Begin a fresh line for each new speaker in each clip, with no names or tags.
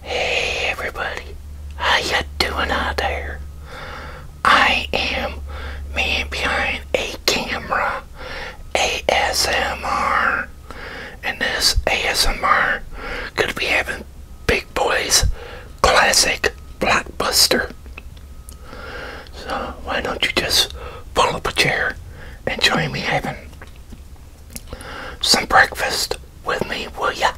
Hey everybody, how you doing out there? I am man behind a camera, ASMR, and this ASMR could be having Big Boy's classic blockbuster. So why don't you just pull up a chair and join me having some breakfast with me, will ya?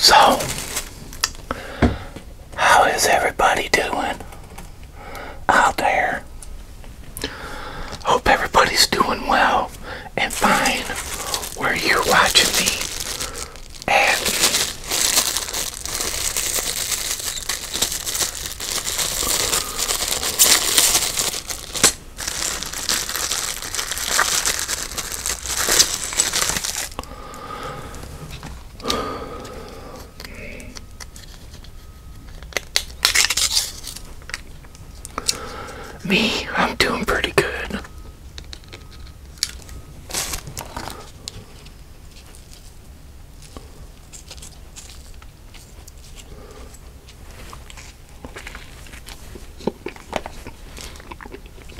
So, how is everybody doing out there? Hope everybody's doing well and fine where you're watching me at. Me, I'm doing pretty good.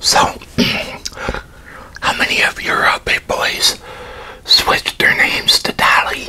So, how many of your uh, big boys switched their names to Dolly?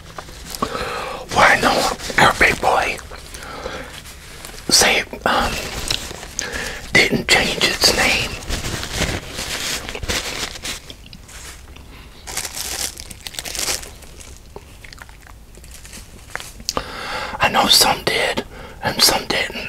Why no, know our big boy say um, didn't change its name. I know some did and some didn't.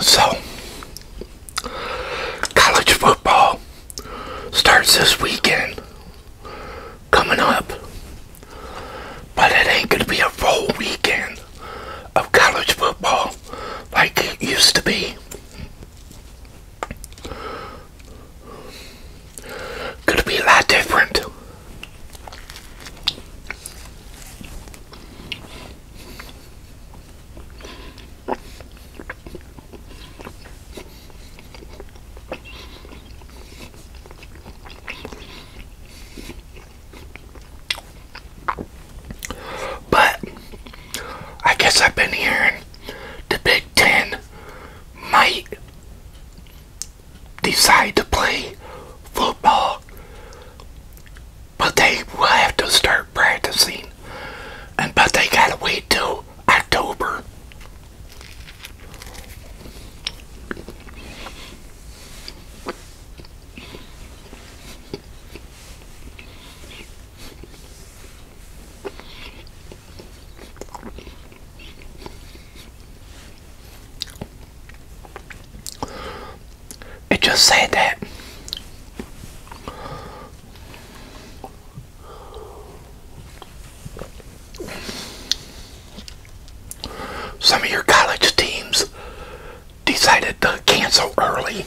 So, college football starts this weekend coming up, but it ain't going to be a full weekend of college football like it used to be. Could be a lot different. But I guess I've been hearing the Big Ten might decide to play football, but they will have to start practicing, and but they gotta wait till October. It just said that. Some of your college teams decided to cancel early.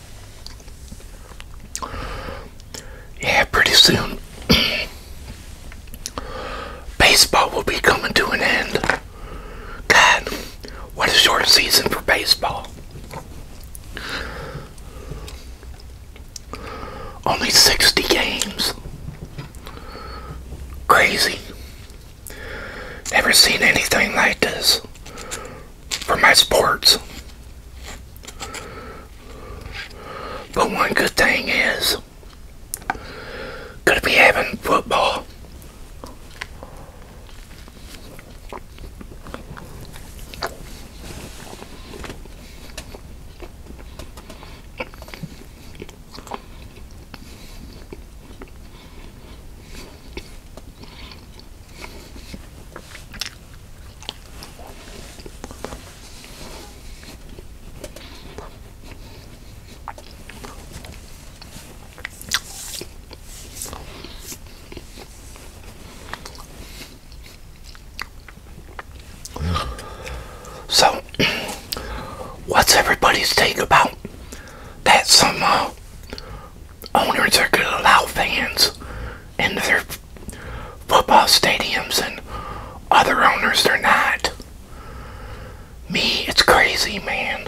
Yeah, pretty soon baseball will be coming to an end. God, what a short season for baseball. Only 60 games. Crazy. Never seen anything like this for my sports. But one good thing is, gonna be having football. So, what's everybody's take about that? Some owners are going to allow fans into their football stadiums and other owners they're not. Me, it's crazy, man.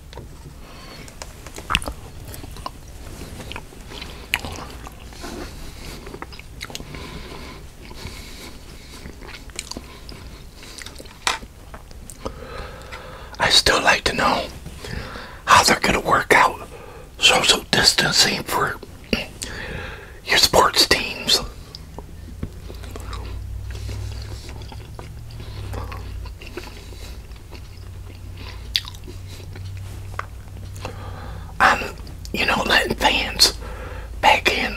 I still like to know how they're going to work out social distancing for your sports teams. I'm, um, you know, letting fans back in.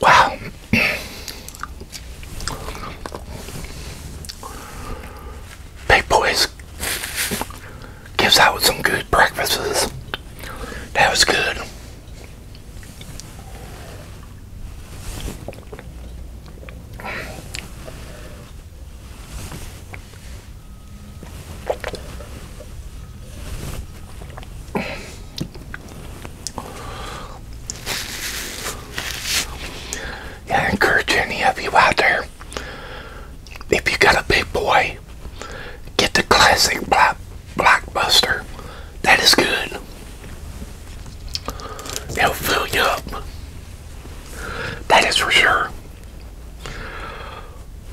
Wow. Big Boys gives out some good breakfasts. That was good. I encourage any of you out there, if you got a big boy, get the classic block, blockbuster. That is good. It'll fill you up. That is for sure.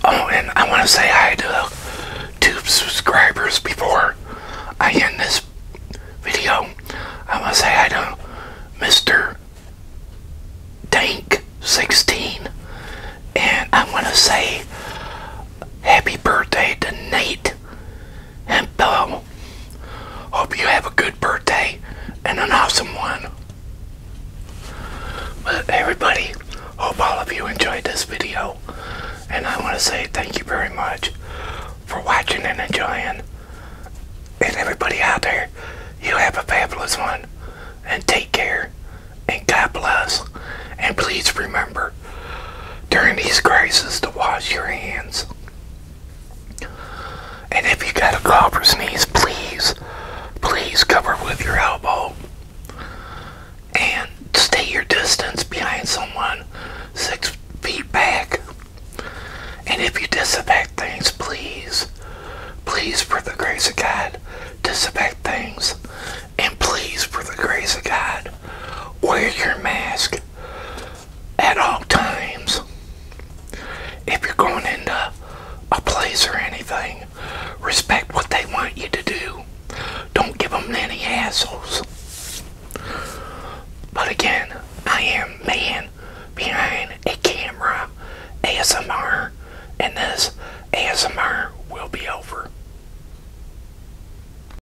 Oh, and I want to say hi to uh, two subscribers before I end this video. I want to say hi to uh, mister tank Dank16. And I want to say happy birthday to Nate and um, Hope you have a good birthday and an awesome one. But everybody, hope all of you enjoyed this video. And I want to say thank you very much for watching and enjoying. And everybody out there, you have a fabulous one. And take care. And God bless. And please remember, during these crises, to wash your hands. And if you got a cough or sneeze, please, please cover with your elbow and stay your distance behind someone six feet back. And if you disinfect things, please, please, for the grace of God, disinfect things. And please, for the grace of God, wear your mask at all times. If you're going into a place or anything, respect what they want you to do. Don't give them any hassles. But again, I am man behind a camera ASMR, and this ASMR will be over.